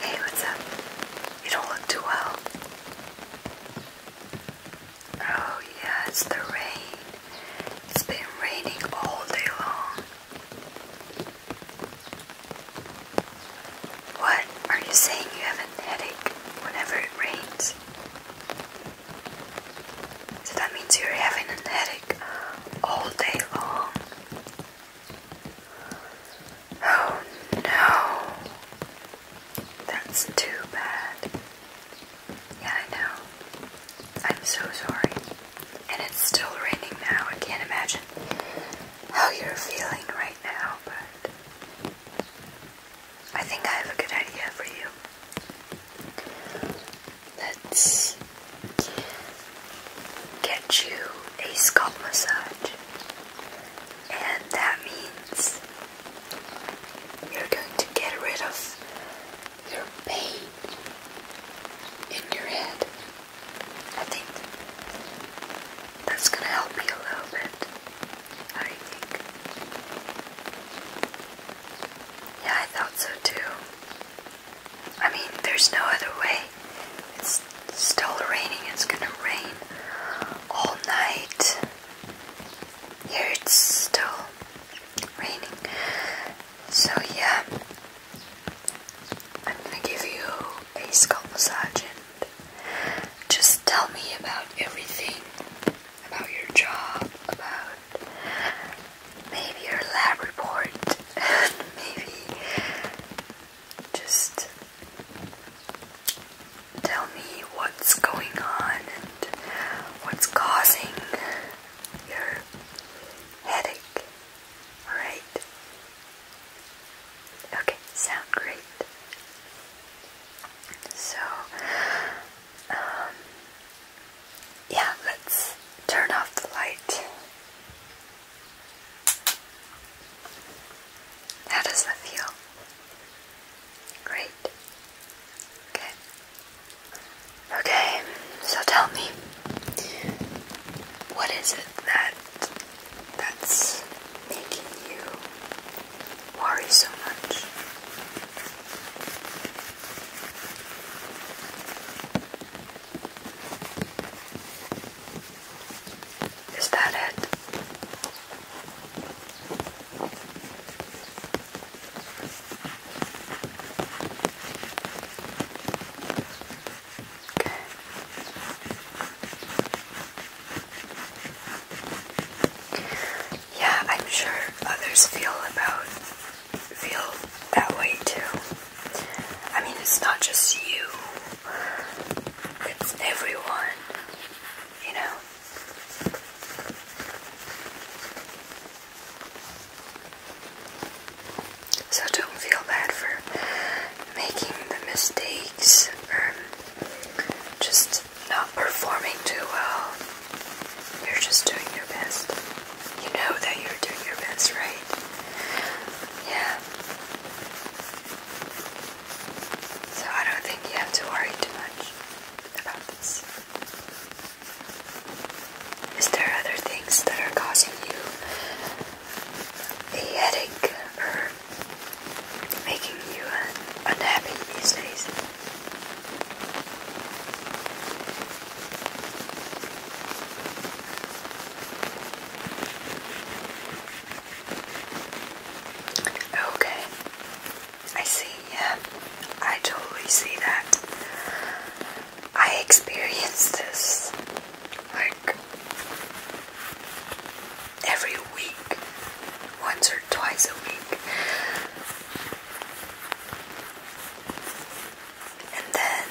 Hey, what's up? You don't look too well. Oh, yeah, it's the rain. It's been raining all day long. What? Are you saying you have a headache whenever it rains? So that means you're having a headache all day long. Oh no. That's too bad. Yeah, I know. I'm so sorry. And it's still raining now. I can't imagine how you're feeling right now, but I think I have a good idea for you. Let's get you a scalp massage, and that means you're going to get rid of your pain in your head. I think that's gonna help you a little bit. How think? Yeah, I thought so too. I mean, there's no other way. It's still raining. It's gonna rain all night. Here it's still raining. So yeah, I'm gonna give you a scalp massage just tell me about everything, about your job, about maybe your lab report and maybe just tell me what's going on and what's causing your headache. Alright? Okay, sound great. So, um, yeah, let's turn off the light how does that feel? Great. Okay. Okay, so tell me, what is it that that's making you worry so much? Is that it? Yeah, I'm sure others feel about feel that way too. I mean, it's not just you, it's everyone, you know. So don't feel bad for making the mistakes or just not performing too well. You're just doing your best you know that you're doing your best, right? Yeah. So I don't think you have to worry too much about this. Is there other things that are causing you a headache or making you unhappy these days? Okay, I see, yeah, I totally see that. I experience this like every week, once or twice a week. And then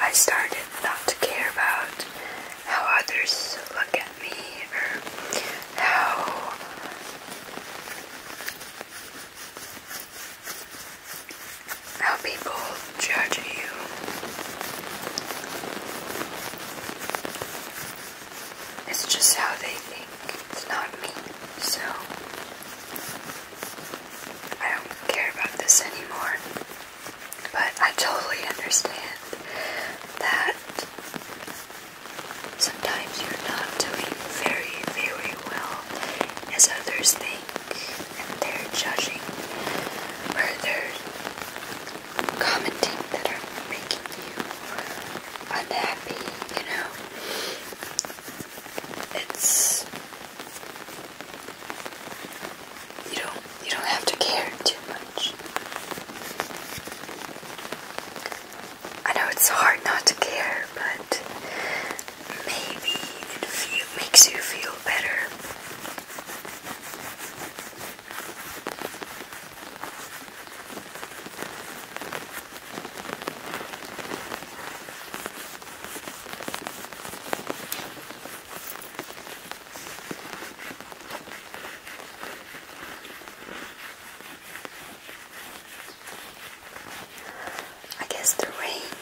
I started not to care about how others look at me or how how people judge you. It's just how they think. It's not me. So I don't care about this anymore. But I totally understand that sometimes you're not doing very, very well as others think, and they're judging or they're commenting that are making you unhappy, you know. It's you don't you don't have to care too much. I know it's hard not to care, but maybe it makes you feel better. I guess the rain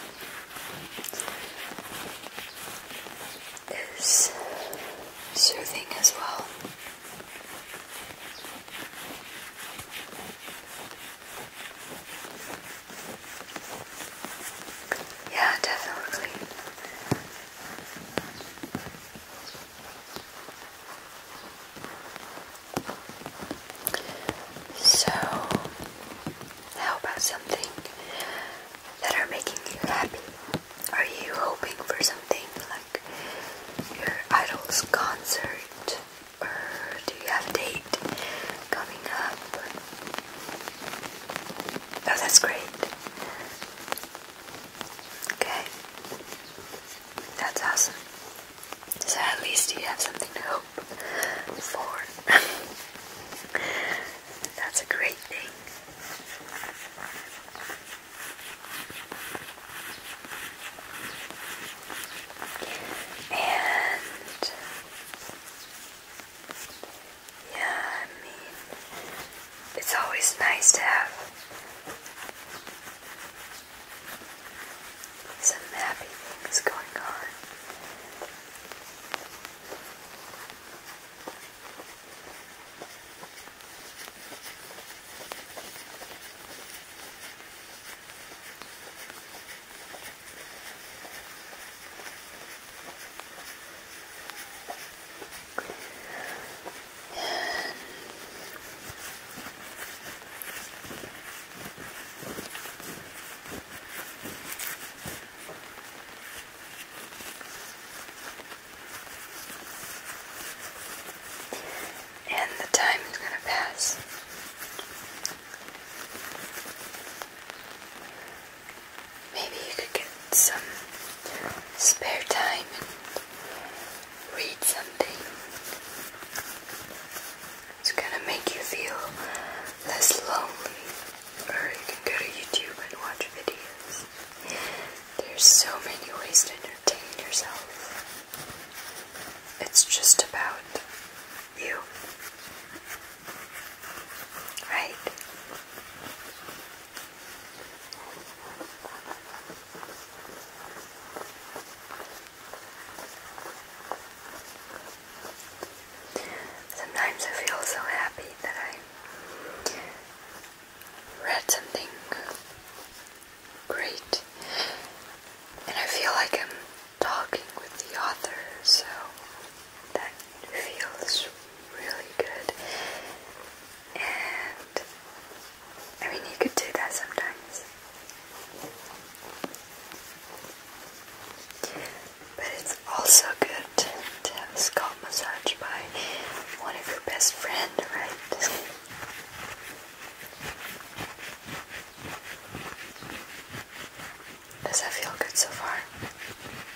is soothing as well. Yeah, definitely. So, how about something that are making you happy? Are you hoping for something like your idol's concert? Or do you have a date coming up? Oh, that's great. Okay. That's awesome. So at least you have something to hope for. that's a great thing. And yeah, I mean, it's always nice to have some happy things going on. And, the time is going to pass. Maybe you could get some spare time and read something. It's gonna make you feel less lonely. Or you can go to YouTube and watch videos. There's so many ways to entertain yourself. It's just about you. Right. Sometimes I feel so happy that I read something great, and I feel like I'm talking with the author, so that feels really good. And I mean, you could do that sometimes. But it's also good to, have a scalp massage by one of your best friend, right? Does that feel good so far?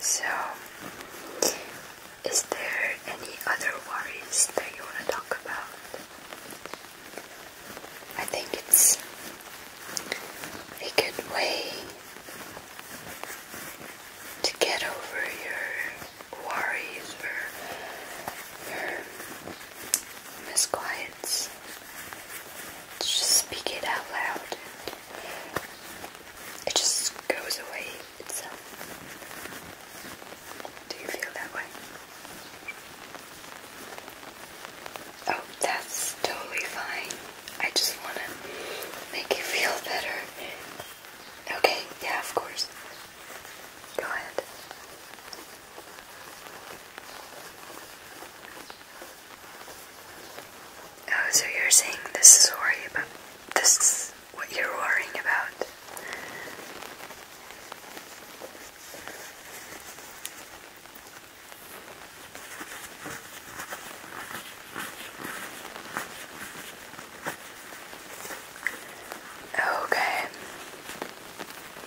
So, is there any other worries that you want to talk about? I think it's a good way to get over your worries misquiets. Let's just speak it out loud it just goes away itself. Do you feel that way? Oh, that's totally fine. I just want to make you feel better. Okay, yeah, of course. Go ahead. Oh, so you're saying this is worry about this is what you're worrying about. Okay.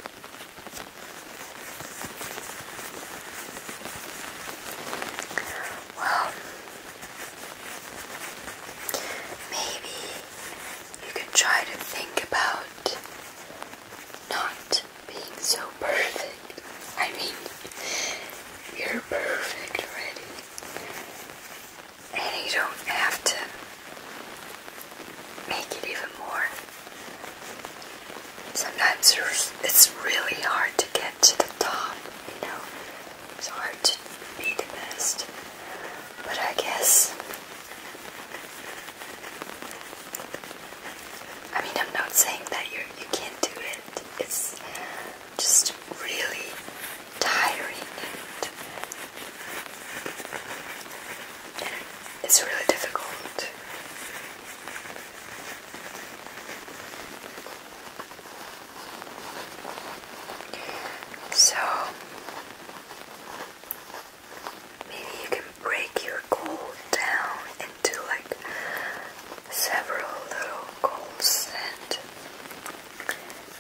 Well, maybe you could try to think about not being so perfect. I mean, you're perfect already, and you don't have to make it even more. Sometimes it's really hard to get to the top, you know, it's hard to be the best. But I guess, I mean, I'm not saying that you're, you you can not do it, it's just really tiring and it's really difficult. So maybe you can break your goal down into like several little goals and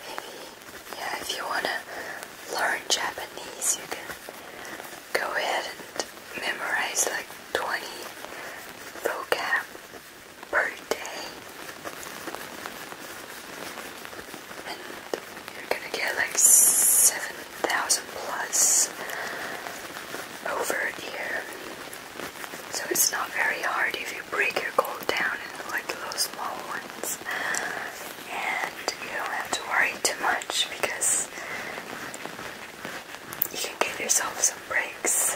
maybe yeah if you wanna learn Japanese you can go ahead and memorize like 20 vocab per day. And you're gonna get like 7,000 plus over a year. So it's not very hard if you break your goal down into like little small ones and you don't have to worry too much because you can give yourself some breaks.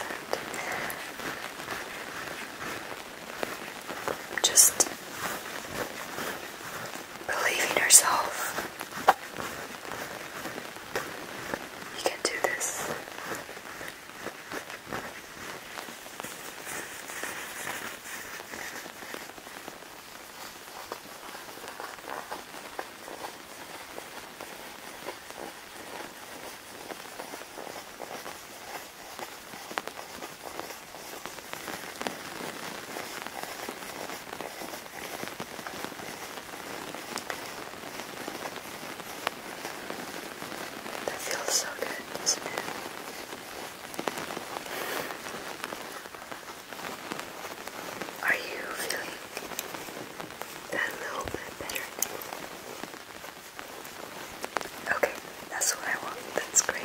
And just believe yourself. You can do this. That feels so good, doesn't it? Are you feeling a little bit better Okay, that's what I want. That's great.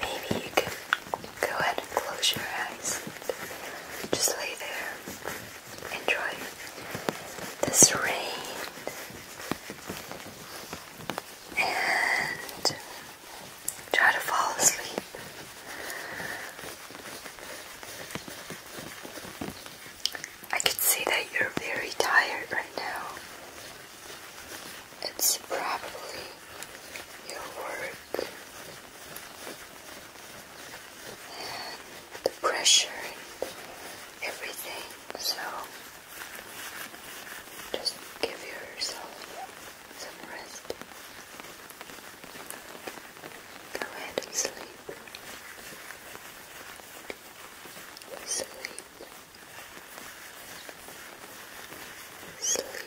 Maybe you can go ahead and close your eyes just lay there enjoy this rain and try to fall asleep. I can see that you're very tired right now. It's probably your work and the pressure and everything. So just give yourself some rest. Go ahead and sleep. Sleep. Sleep.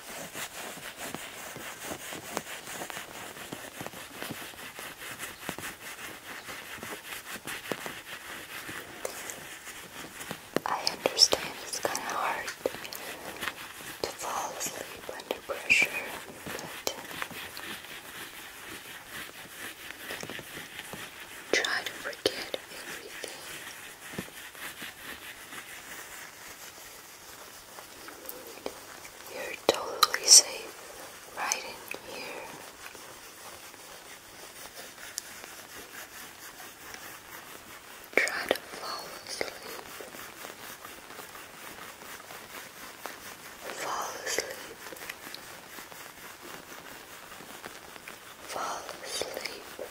I understand it's kind of hard to fall asleep under pressure, but uh, try to forget everything. You're totally safe right in here. Try to fall asleep. Fall asleep. Fall asleep.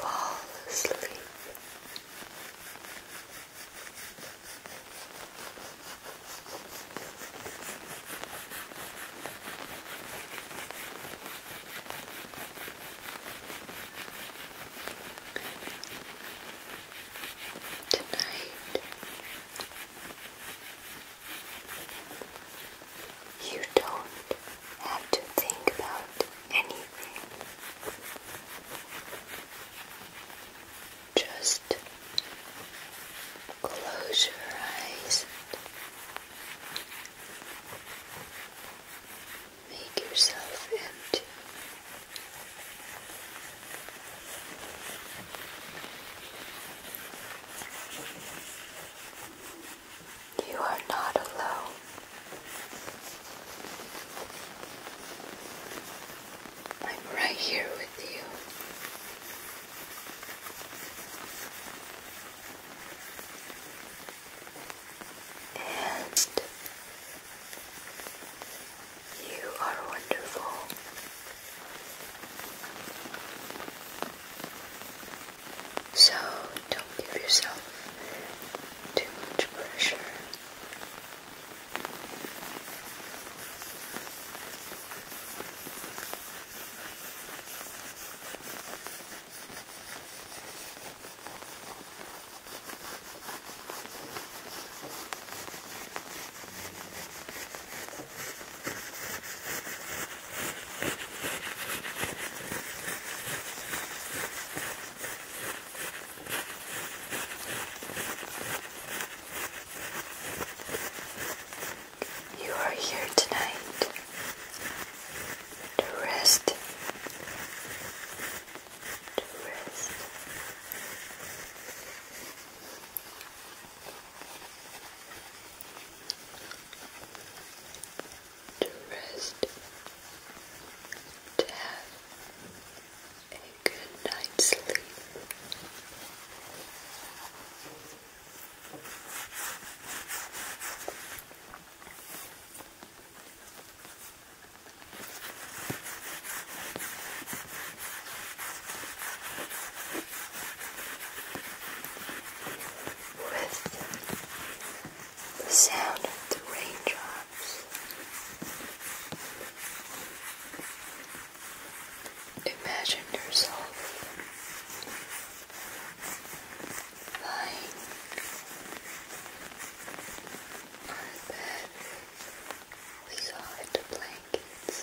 Fall asleep. Tonight, you don't have to think about anything. Just close your eyes. Make yourself empty. You are not alone. I'm right here with you. And you are wonderful. So don't give yourself too much pressure. You are here tonight to rest, to rest to rest, to have a good night's sleep. With the sound of the raindrops. Imagine yourself lying on a bed with soft blankets.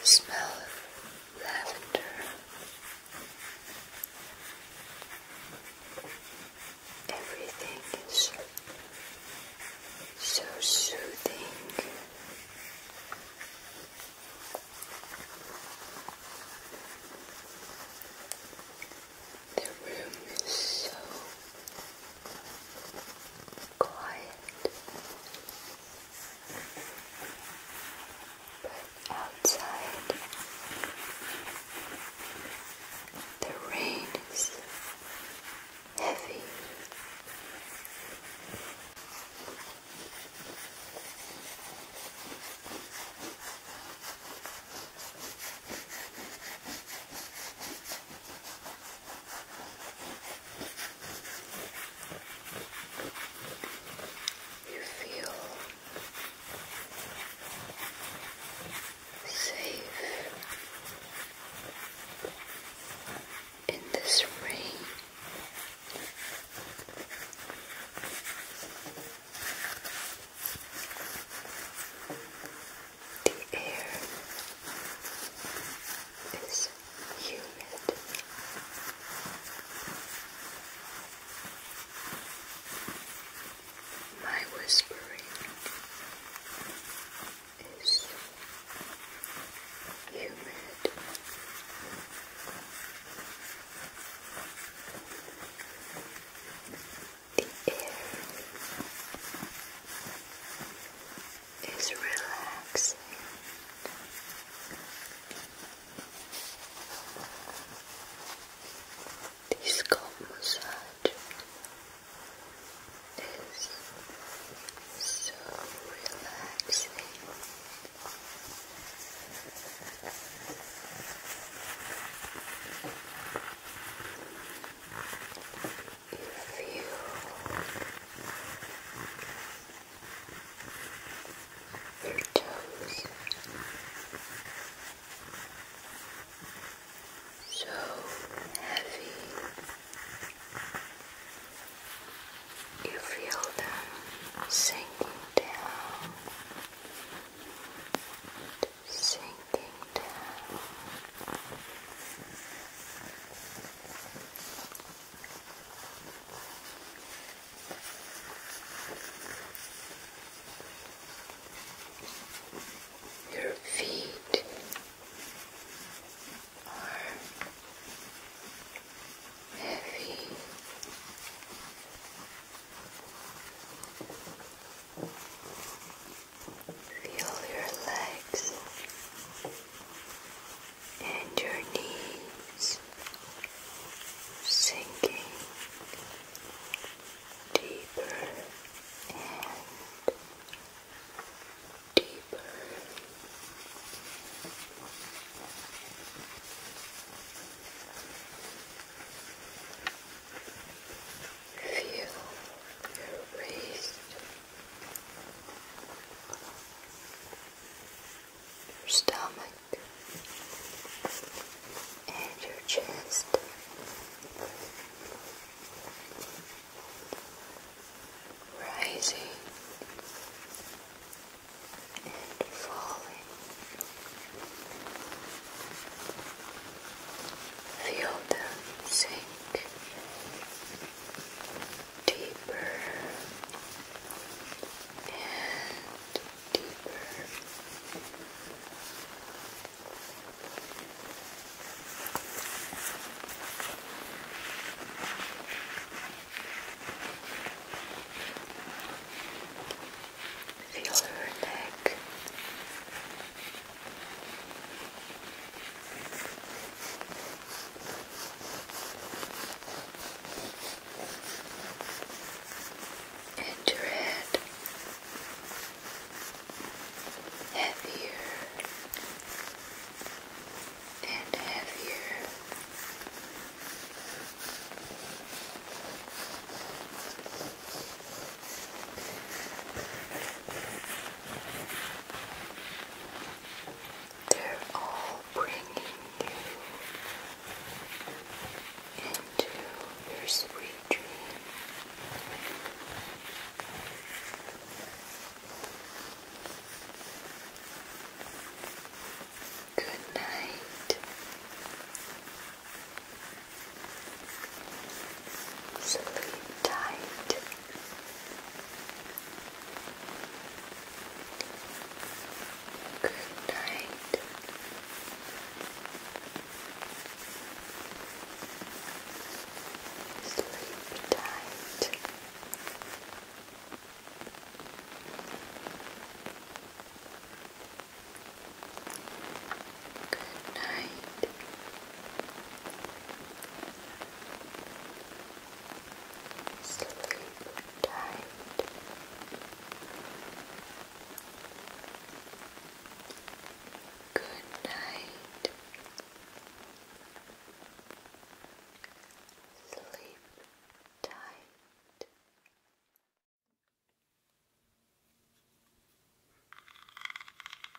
The smell of lavender. Everything is so soothing. The room is so quiet. But outside, the rain is heavy. You feel safe in this rain. The air is humid. My whispering is humid. The air it's relaxing. The scalp massage is so relaxing if you your toes so heavy you feel them sinking down sinking down your feet are heavy. Feel your legs and your knees sinking deeper and deeper. Feel your waist your stomach and your chest. Rising and falling. Feel them sink deeper and deeper. Feel her neck and your head heavier and heavier. They're all bringing you into your sweet dream. Good night. Sleep tight. Good night. Sleep tight. Good night. Sleep tight. Good night. Sleep tight.